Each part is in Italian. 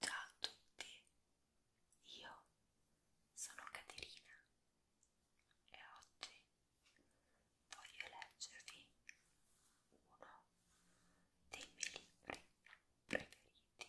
Ciao a tutti, io sono Caterina e oggi voglio leggervi uno dei miei libri preferiti.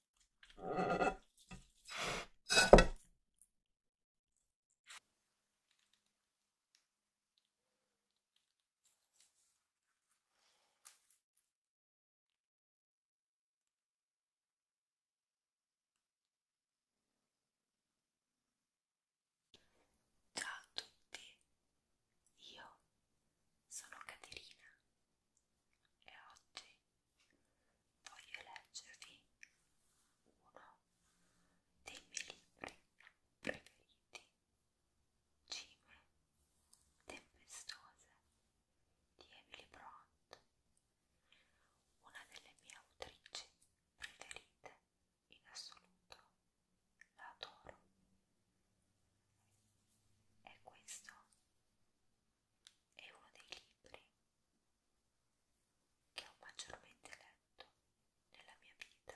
Ciao a tutti, io sono Caterina e oggi voglio leggervi uno dei miei libri preferiti, Cime Tempestose di Emily Bront, una delle mie autrici preferite in assoluto, la adoro. E questo è uno dei libri che ho maggiormente letto nella mia vita.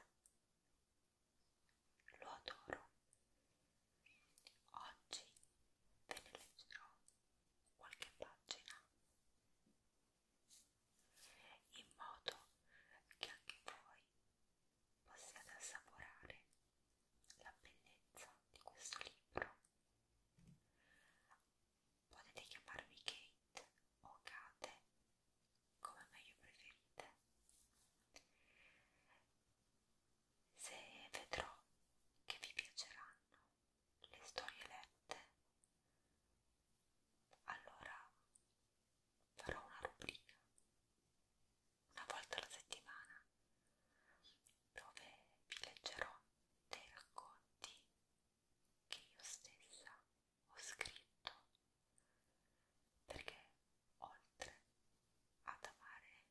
Lo adoro. Oggi ve ne leggerò qualche pagina in modo che anche voi possiate assaporare la bellezza di questo libro Potete chiamarmi Kate o Kate, come meglio preferite. Se vedrò che vi piaceranno le storie lette, allora farò una rubrica una volta alla settimana dove vi leggerò dei racconti che io stessa ho scritto perché oltre ad amare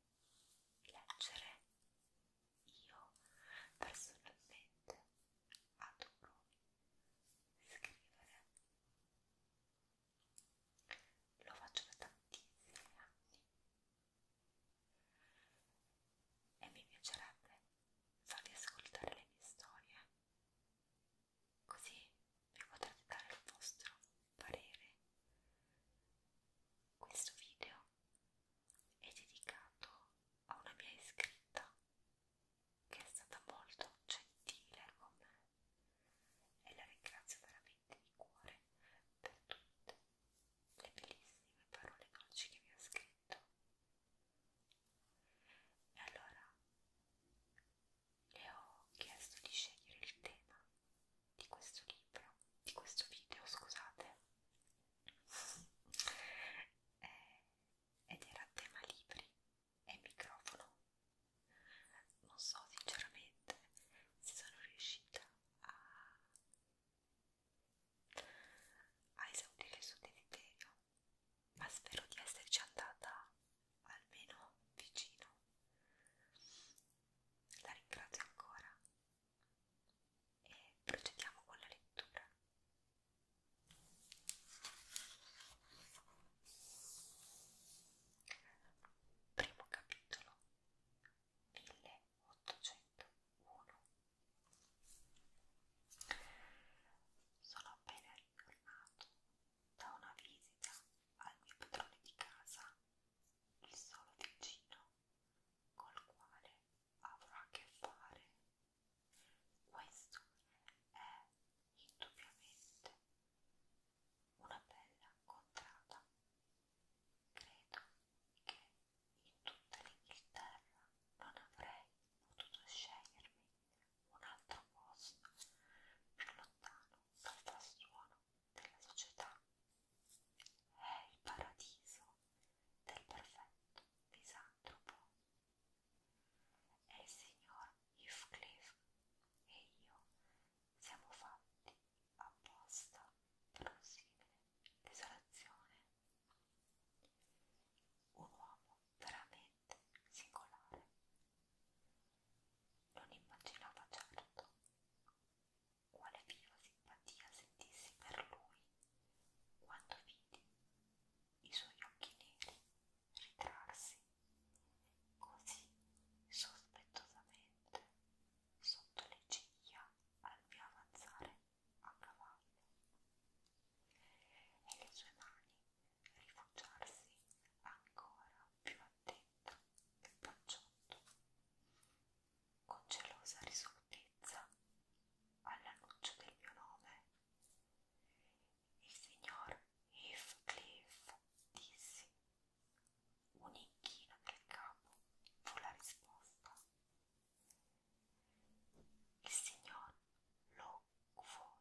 leggere io personalmente adoro scrivere lo faccio da tantissimi anni e mi piacerebbe farvi ascoltare le mie storie, così vi potrete dare il vostro parere. Questo video è dedicato a una mia iscritta che è stata molto gentile con me e la ringrazio veramente di cuore per tutte le bellissime parole dolci che mi ha scritto. E allora le ho chiesto di scegliere il tema di questo libro, di questo video, scusate. Eh, ed era a tema libri e microfono. Non so sinceramente se sono riuscita a a esaurire il suo deleterio, ma spero di esserci andata almeno vicino. La ringrazio ancora e procediamo con la lettura. Primo capitolo 1801. Sono appena ritornato da una visita al mio padrone di casa, il solo vicino, col quale avrò a che fare. Questo è indubbiamente una bella contrada. Credo che in tutta l'Inghilterra non avrei potuto scegliermi un altro posto più lontano dal frastuono della società. È il paradiso del perfetto misantropo. E il signor Heathcliff e io siamo fatti apposta per una simile desolazione. Un uomo veramente singolare. Non immaginava certo quale viva simpatia sentissi per lui quando vidi i suoi occhi neri ritrarsi così sospettosamente sotto le ciglia al mio avanzare a cavallo e le sue mani rifugiarsi ancora più attento del panciotto con gelosa risolutezza all'annuncio del mio nome il signor Heathcliff dissi un inchino del capo fu la risposta il signor Lockwood,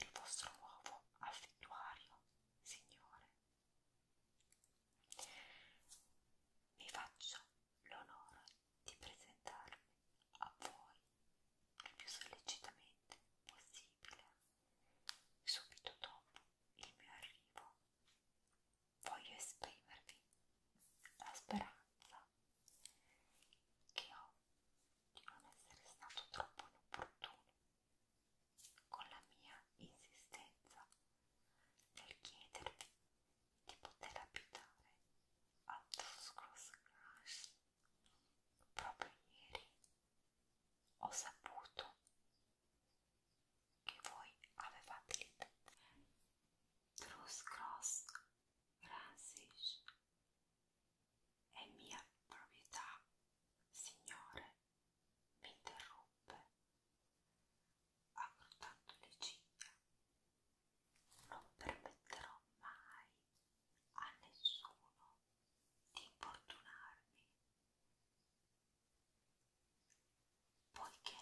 il vostro nuovo affittuario, signore. Mi faccio l'onore di presentarmi a voi il più sollecitamente possibile subito dopo il mio arrivo voglio esprimervi la speranza che ho di non essere stato troppo inopportuno con la mia insistenza nel chiedervi di poter abitare al Tuscross Crash. Proprio ieri ho saputo che voi avevate l'idea Truscross Francis è mia proprietà, signore, mi interruppe, aggrottando le ciglia. Non permetterò mai a nessuno di importunarmi poiché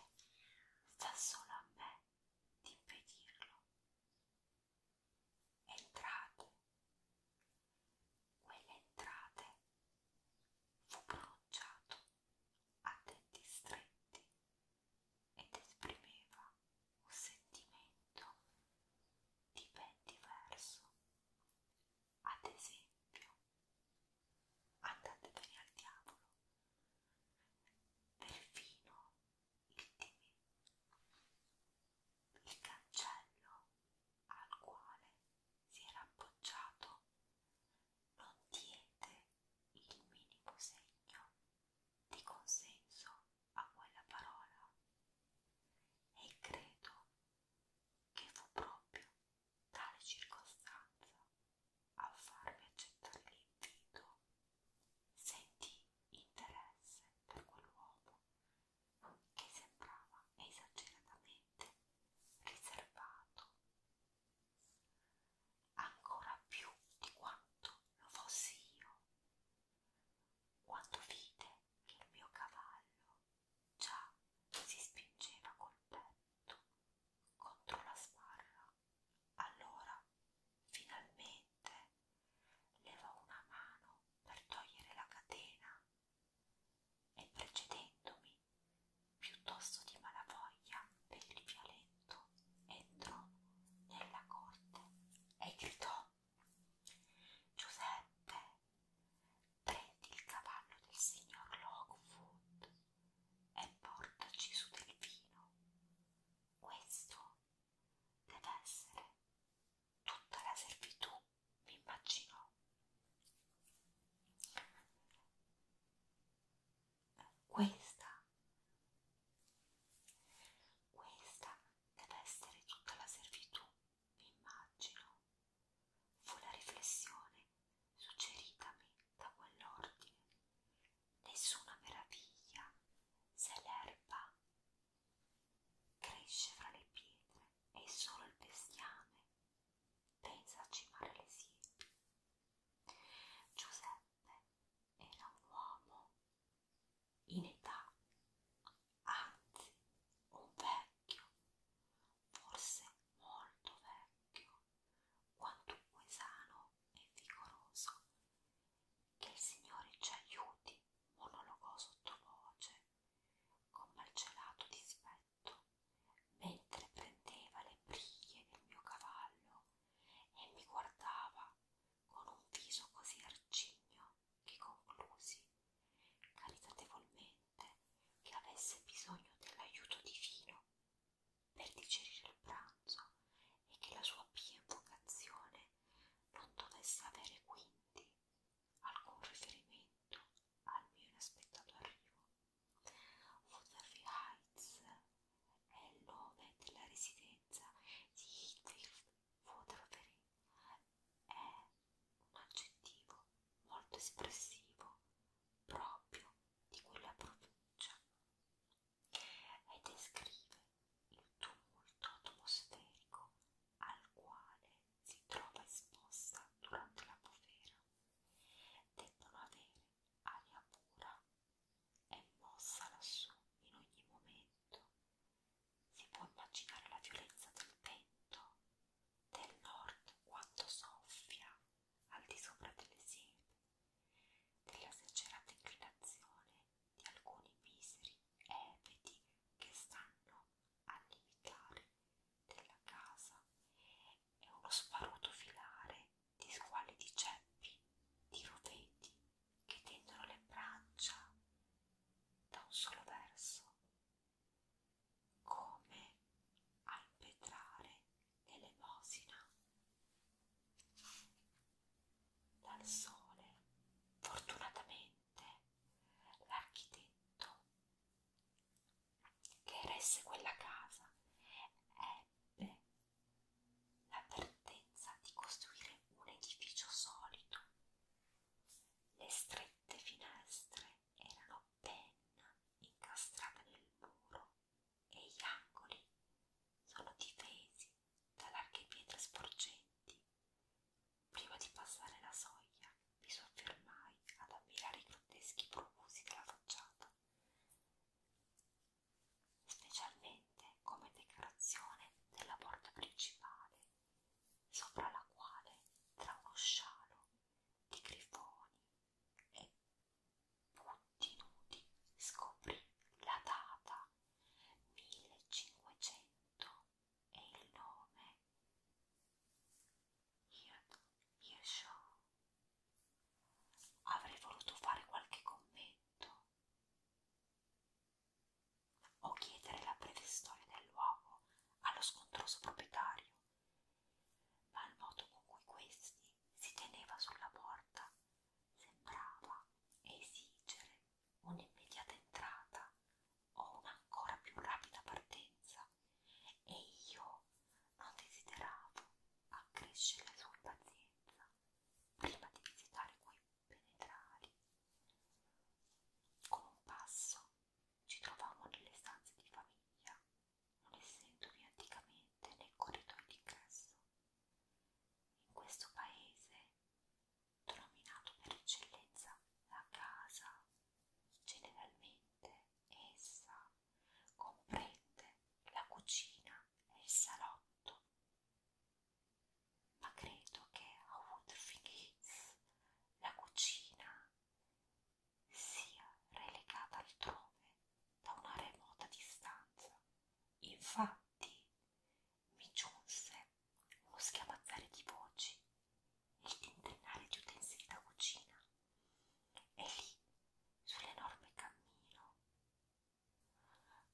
sta solo a me d'impedirlo. Entrate, quelle entrate fu pronunciato a denti stretti ed esprimeva un sentimento di ben diverso. Ad esempio, andatevene al diavolo, perfino il timè, il cancello al quale si era appoggiato non diede il minimo segno di consenso a quella parola e credo che fu proprio tale circostanza a farmi accettare l'invito, sentì interesse per quell'uomo che sembrava esageratamente riservato, ancora più di quanto lo fossi io. Quando vide che il mio cavallo già si spingeva col petto contro la sbarra, allora, finalmente, levò una mano per togliere la catena e precedendomi, piuttosto di malavoglia per il vialetto, entrò nella corte e gridò Giuseppe, prendi il cavallo del signor Lockwood e portaci su del vino. Questo deve essere tutta la servitù, mi immaginò. Questa, questa deve essere tutta la servitù, mi immagino. Fu la riflessione suggeritami da quell'ordine. Nessuna meraviglia se l'erba cresce fra le pietre e solo il bestiame pensa a cimare le siepi. Giuseppe era un uomo in età, anzi un vecchio, forse molto vecchio, quantunque sano e vigoroso, che il Signore ci aiuti, monologò sottovoce, con malcelato dispetto, mentre prendeva le briglie del mio cavallo e mi guardava con un viso così arcigno che conclusi caritatevolmente che avesse bisogno dell'aiuto divino per digerire il pranzo e che la sua pia invocazione non dovesse avere quindi alcun riferimento al mio inaspettato arrivo. Woodville Heights è il nome della residenza di Heathfield Woodville. È un aggettivo molto espressivo proprio di quella provincia e descrive il tumulto atmosferico al quale si trova esposta durante la bufera. Debbono avere aria pura e mossa lassù in ogni momento. Si può immaginare la violenza del vento del nord quando soffia al di sopra delle siepi della esagerata inclinazione di alcuni miseri ebeti che stanno al limitare della casa e uno sparuto filare di squali di ceppi, di roveti che tendono le braccia da un solo verso, come al petrare l'elemosina dal sole fortunatamente l'architetto che eresse quella casa ebbe l'avvertenza di costruire un edificio solido le strette finestre erano penna incastrate nel muro e gli angoli sono difesi da larghe pietre sporgenti. Prima di passare la soglia mi soffermai ad ammirare i grotteschi profusi della facciata, specialmente come decorazione della porta principale, sopra la quale, tra uno scialo di grifoni e Putti nudi scoprì la data 1500 e il nome Hirshaw. Avrei voluto fare qualche commento o chiedere la breve storia del luogo allo scontroso proprietario, ma il modo con cui questi si teneva sulla porta, sembrava esigere un'immediata entrata o un'ancora più rapida partenza, e io non desideravo accrescere la sua impazienza prima di visitare quei penetrali. Con un passo ci trovammo nelle stanze di famiglia, non essendovi anticamente né corridoi d'ingresso in questo paese, denominato per eccellenza la casa, generalmente essa comprende la cucina e il salotto, ma credo che a Woodfing Hills la cucina sia relegata altrove da una remota distanza. Infatti mi giunse uno schiamazzare di voci, il tintinnare di utensili da cucina, e lì, sull'enorme cammino,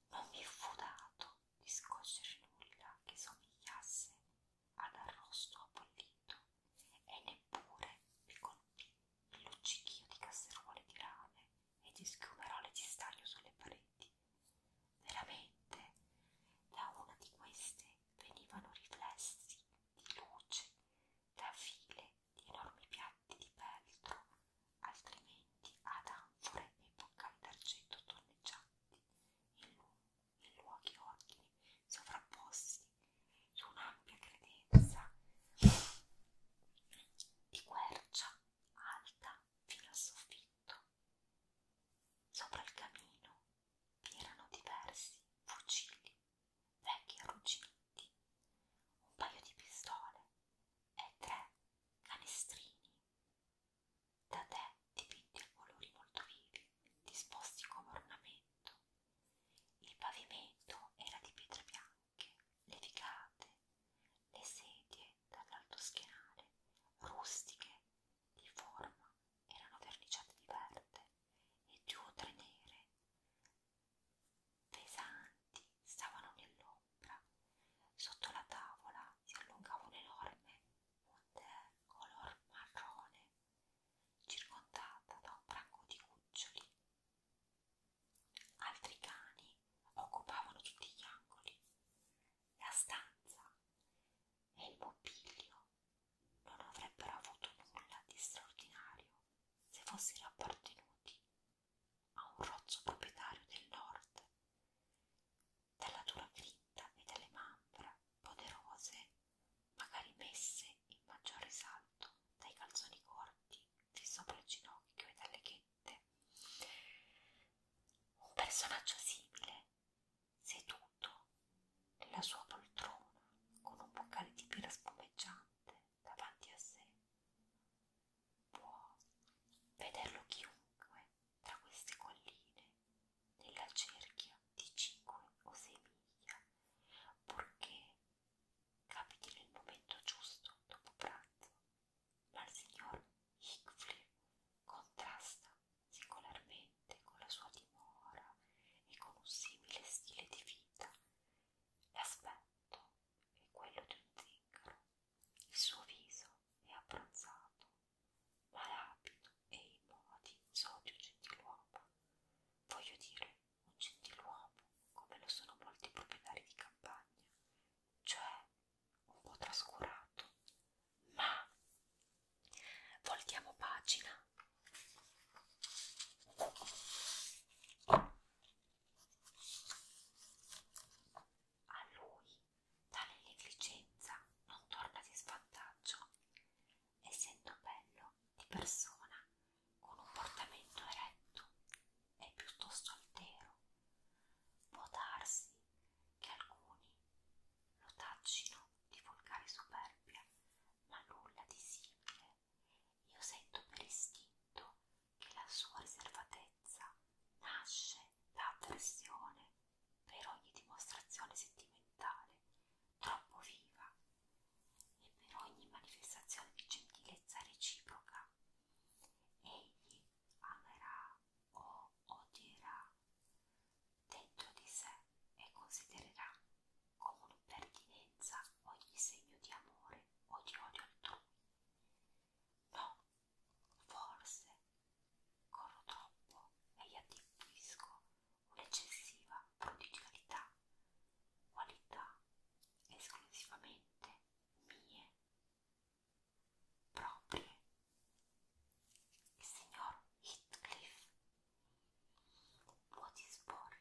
non mi fu dato di scorgere nulla che somigliasse ad arrosto appollito e neppure mi colpì luccichio di casseruole di rame e di schiumerole di stagno sulle pareti. Veramente, da una di queste venivano riflessi di luce da file di enormi piatti di peltro, altrimenti ad anfore e boccali d'argento tonneggianti in, lu in luoghi ordini sovrapposti su un'ampia credenza di quercia alta fino al soffitto. Sopra il camino vi erano diversi fucili, vecchi arrugginiti, un paio di pistole e tre canestrini. Da te dipinti a colori molto vivi, disposti come ornamento. Il pavimento era di pietre bianche panche, le ficate, le sedie dall'alto schienale, rustiche, di forma, erano verniciate di verde e due o tre nere, pesanti, stavano nell'ombra. Sotto la tavola si allungava un enorme monter color marrone, circondata da un branco di cuccioli Altri cani occupavano tutti gli angoli, la stanza e il mobilio non avrebbero avuto nulla di straordinario se fossero appartenuti a un rozzo proprietario del nord, dalla dura grinta e dalle mampra poderose, magari messe in maggior risalto dai calzoni corti fin sopra il ginocchio e dalle niente. Un personaggio simile, seduto nella sua poltrona con un boccale di birra spumeggiante davanti a sé, può vederlo chiunque tra queste colline nella cerchia di 5 o 6 miglia, purché capiti nel momento giusto dopo pranzo dal signor Hickfley contrasta singolarmente con la sua dimora e con un simile stile di vita. L'aspetto è quello di un zingaro, il suo viso è abbronzato, ma rapido e i modi sono di un gentiluomo. Voglio dire, un gentiluomo come lo sono molti proprietari di campagna, cioè un po' trascurato, ma voltiamo pagina. A lui tale negligenza non torna di svantaggio, essendo bello di persona, con un portamento eretto, è piuttosto altero. Può darsi che alcuni lo taccino di volgare superbia, ma nulla di simile. Io sento per istinto che la sua riservatezza nasce da avversione per ogni dimostrazione sentimentale troppo viva e per ogni manifestazione di gentilezza reciproca Egli amerà o odierà dentro di sé e considererà come un'impertinenza ogni segno di amore o di odio altrui. No, forse corro troppo e gli attribuisco un'eccessiva prodigalità, qualità esclusivamente mie proprie il signor Heathcliff può disporre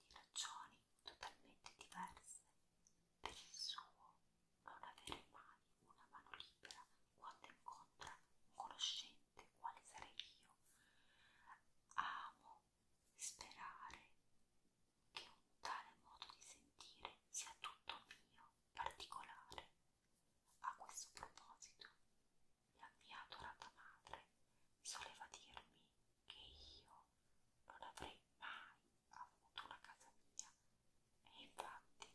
di ragioni totalmente diverse per il suo non avere mai una mano libera quando incontra un conoscente quale sarei io amo sperare che un tale modo di sentire sia tutto mio, particolare. A questo proposito, la mia adorata madre soleva dirmi che io non avrei mai avuto una casa mia, e infatti,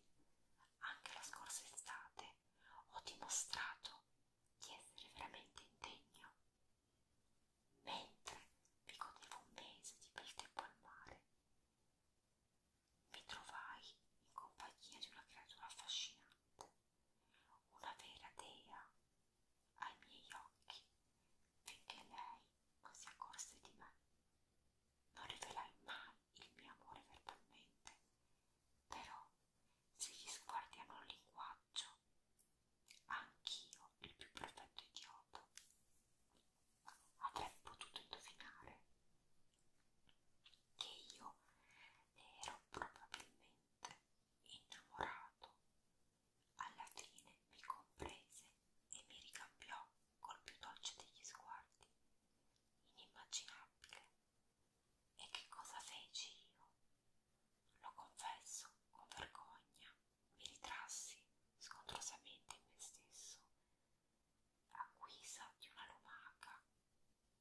anche la scorsa estate ho dimostrato di essere veramente indegno. Mentre vi godevo un mese di bel tempo al mare, mi trovai in compagnia di una creatura affascinante, una vera dea ai miei occhi, finché lei non si accorse di me. Non rivelai mai il mio amore verbalmente, però se gli sguardi hanno un linguaggio, anch'io, il più perfetto idiota, avrei potuto indovinare che io ero probabilmente innamorato. Alla fine mi comprese e mi ricambiò col più dolce degli sguardi, inimmaginabile. E che cosa feci io? Lo confesso con vergogna, mi ritrassi scontrosamente in me stesso, a guisa di una lumaca,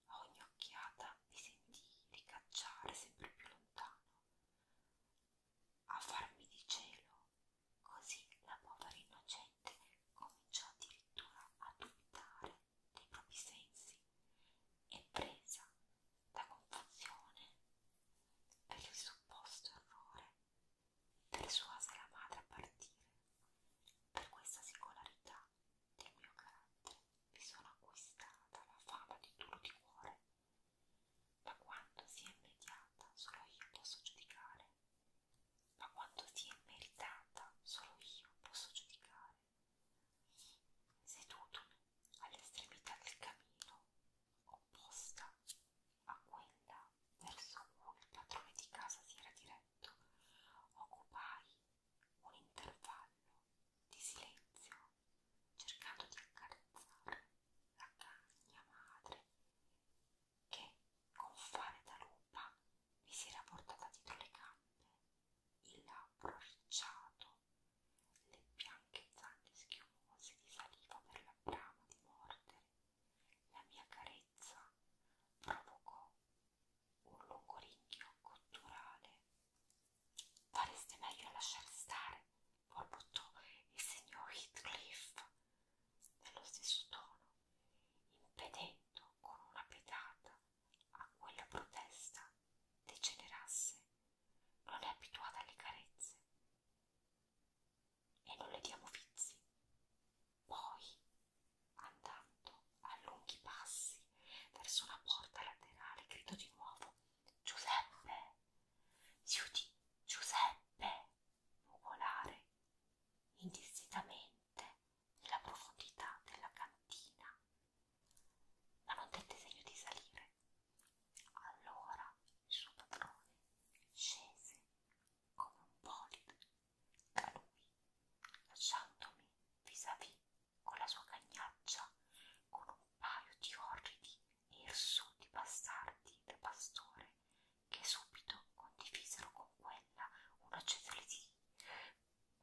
a ogni occhiata mi sentii ricacciare sempre più lontano, a farmi di cielo, così la povera innocente cominciò addirittura a dubitare dei propri sensi e presa da confusione per il supposto errore persuase la madre a partire. Per questa singolarità del mio carattere mi sono acquistata la fama di duro di cuore, ma quanto sia immediata solo io posso giudicare, ma quanto sia immeritata solo io posso giudicare. Sedutomi all'estremità del camino, opposta a quella verso cui il padrone di casa si era diretto, occupai un intervallo di silenzio, cercando di accarezzare la cagna madre che, con fare da lupa, mi si era portata dietro le gambe, il labbro arricciato, le bianche zanne schiumose di saliva per la brama di mordere la mia carezza provocò un lungo ringhio cotturale. Fareste meglio a lasciar stare, borbottò il signor Heathcliff nello stesso tono, impedendo con una pedata a quella protesta degenerasse. Non è abituata alle carezze, e non le diamo vizi. Poi, andando a lunghi passi verso una porta laterale, grido di nuovo: Giuseppe! Si udì Giuseppe nuvolare indistintamente nella profondità della cantina, ma non tette segno di salire. Allora il suo padrone scese come un polipo da lui, lasciandomi vis-à-vis -vis con la sua cagnaccia, con un paio di orridi e irsuti bastardi da pastore che subito condivisero con quella una celerity,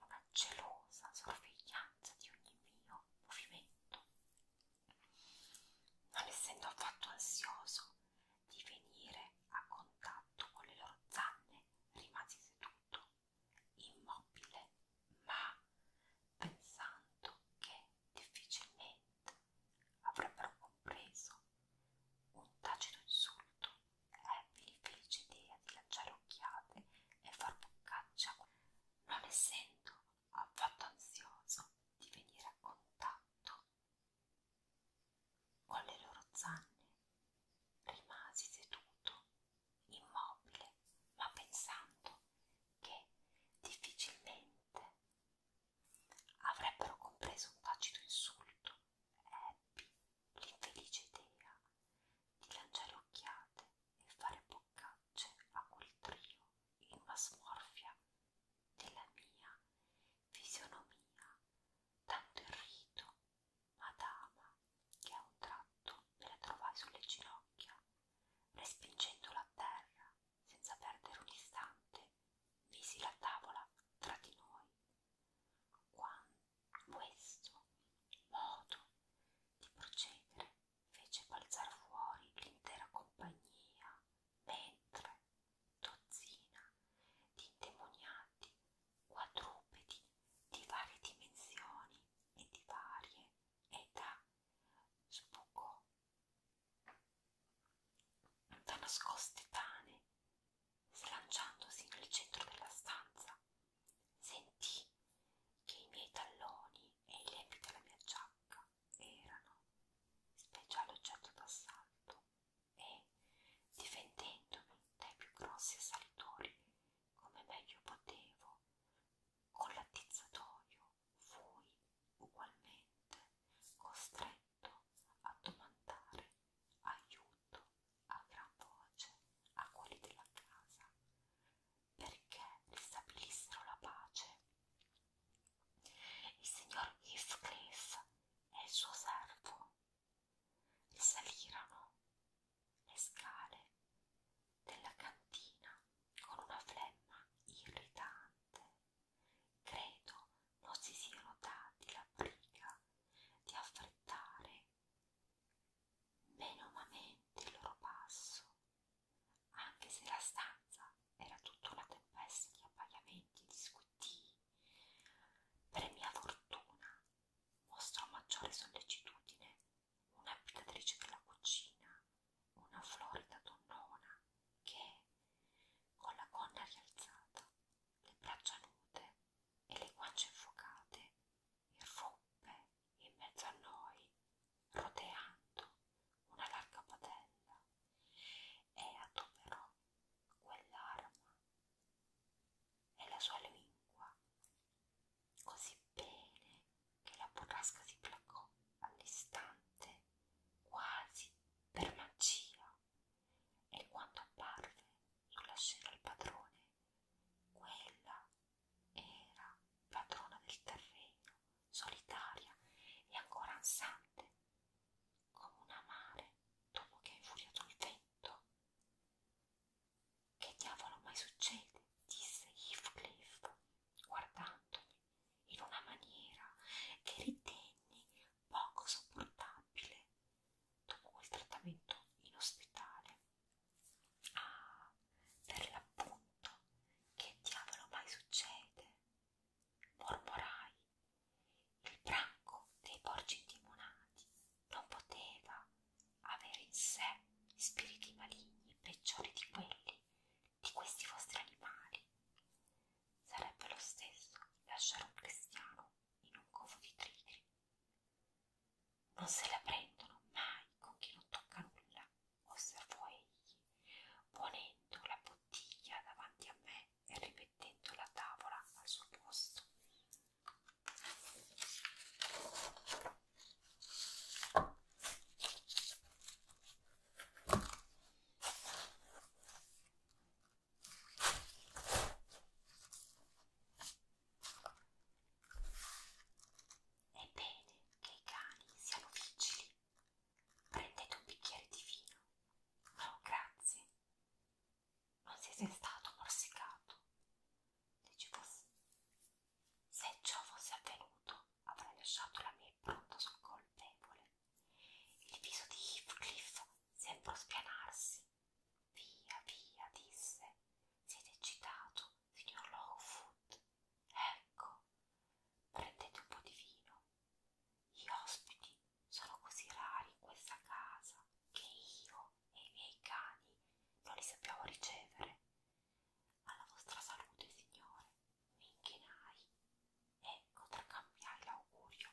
una gelosa sorveglianza di ogni mio movimento. Non essendo affatto ansioso di venire a contatto con le loro zanne rimasi seduto, immobile, ma pensando che difficilmente avrebbero compreso un tacito insulto, Emily fece idea di lanciare occhiate e far boccaccia, non essendo affatto ansioso di venire a contatto con le loro zanne rimasi seduto, immobile, ma pensando che difficilmente avrebbero compreso un tacito insulto. Ebbi l'infelice idea di lanciare occhiate e fare boccacce a quel trio in una smorfia della mia fisionomia, tanto irrito, madama, che a un tratto me la trovai sulle ginocchia, respingendola a terra, senza perdere un istante, misi la tavola tra di noi. Quando questo modo di procedere fece balzar fuori l'intera compagnia, mentre dozzina di indemoniati, quadrupedi di varie dimensioni e di varie età sbucò da nascoste tane, slanciandosi nel centro della stanza, sentì che i miei talloni e i lembi della mia giacca erano speciale oggetto d'assalto e, difendendomi dai più grossi assalitori come meglio potevo, con l'attizzatoio fui ugualmente costretto a domandare aiuto a gran voce a quelli della casa perché ristabilissero la pace. Il signor Heathcliff e il suo servo e salirono le scale della cantina con una flemma irritante. Credo non si siano dati la briga di affrettare menomamente il loro passo, anche se la stanza era tutta una tempesta di appaiamenti, di squittii per mia fortuna mostrò maggiore sollecitudine un'abitatrice della cucina, una florida donnona che, con la gonna rialzata, le braccia nude e le guance infuocate, irruppe in mezzo a noi, roteando una larga padella e adoperò quell'arma e la sua lingua così bene che la burrasca si placò all'istante quasi per magia e quando apparve sulla scena il padrone quella era padrona del terreno solitaria e ancora ansante come una mare dopo che ha infuriato il vento. Che diavolo mai succede? disse Heathcliff, guardandomi in una maniera che ritenni poco sopportabile dopo quel trattamento in ospedale. Ah, per l'appunto, che diavolo mai succede? mormorai. Il branco dei porci indimonati non poteva avere in sé spiriti maligni peggiori di quelli di questi vostri animali. Sarebbe lo stesso lasciare un cristiano in un covo di trigri. Non se la prendono mai con chi non tocca nulla, osservò egli, ponendo la bottiglia davanti a me e ripetendo rimettendo la tavola al suo posto. È bene che i cani siano vigili. Prendete un bicchiere di vino. No, grazie non siete stato morsicato. Dici fosse. Se ciò fosse avvenuto, avrei lasciato la mia impronta sul colpevole. Il viso di Heathcliff sembrò spianarsi. Via, via, disse. Siete eccitato, signor Longfoot. Ecco, prendete un po' di vino. Gli ospiti sono così rari in questa casa che io e i miei cani non li sappiamo ricevere. Alla vostra salute, signore, mi inchinai e contraccambiai l'augurio.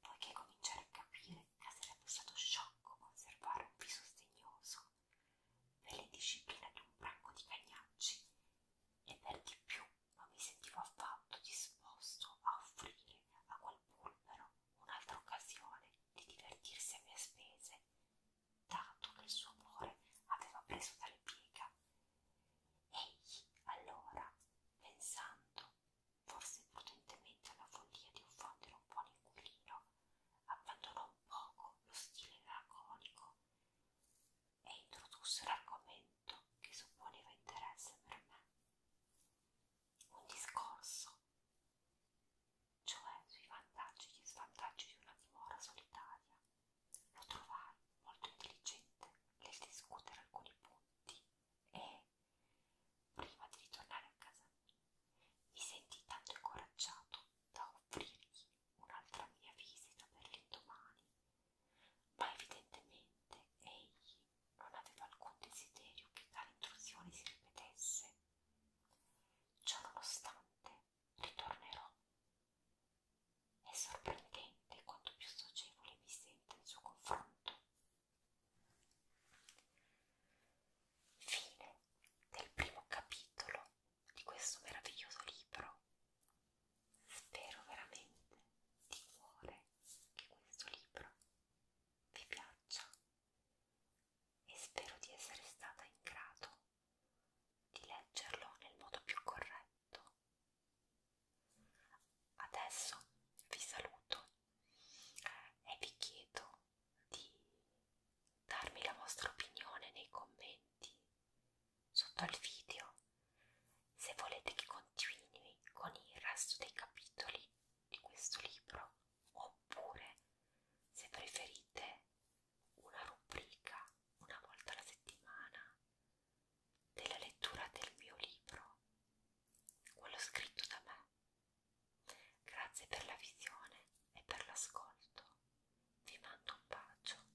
Poiché cominciai a capire che sarebbe stato sciocco conservare un viso sdegnoso per l'indisciplina di un branco di cagnacci e per di più non mi sentivo affatto disposto a offrire a quel pulvero un'altra occasione di divertirsi a mie spese, dato che il suo amore aveva preso tale piega. Egli, allora, pensando forse prudentemente alla follia di offendere un buon inquilino, abbandonò un poco lo stile laconico e introdusse l'argomento oggetto che supponeva interesse per me, un discorso, cioè sui vantaggi e svantaggi di una dimora solitaria. Lo trovai molto intelligente nel discutere alcuni punti e, prima di ritornare a casa mia, mi sentii tanto incoraggiato da offrirgli un'altra mia visita per l'indomani, ma evidentemente egli non aveva alcun desiderio che tale intrusione si ripetesse. Ciò nonostante, ritornerò. È sorprendente quanto più socievole mi sente il suo confronto. Fine del primo capitolo di questo meraviglioso libro. Spero veramente di cuore che questo libro vi piaccia e spero di essere stata in grado di leggerlo nel modo più corretto. Adesso vi saluto e vi chiedo di darmi la vostra opinione nei commenti sotto al video se volete che continui con il resto dei capitoli di questo libro, oppure se preferite una rubrica una volta alla settimana della lettura del mio libro, quello scritto da me. Grazie per la visione e per l'ascolto. Vi mando un bacio.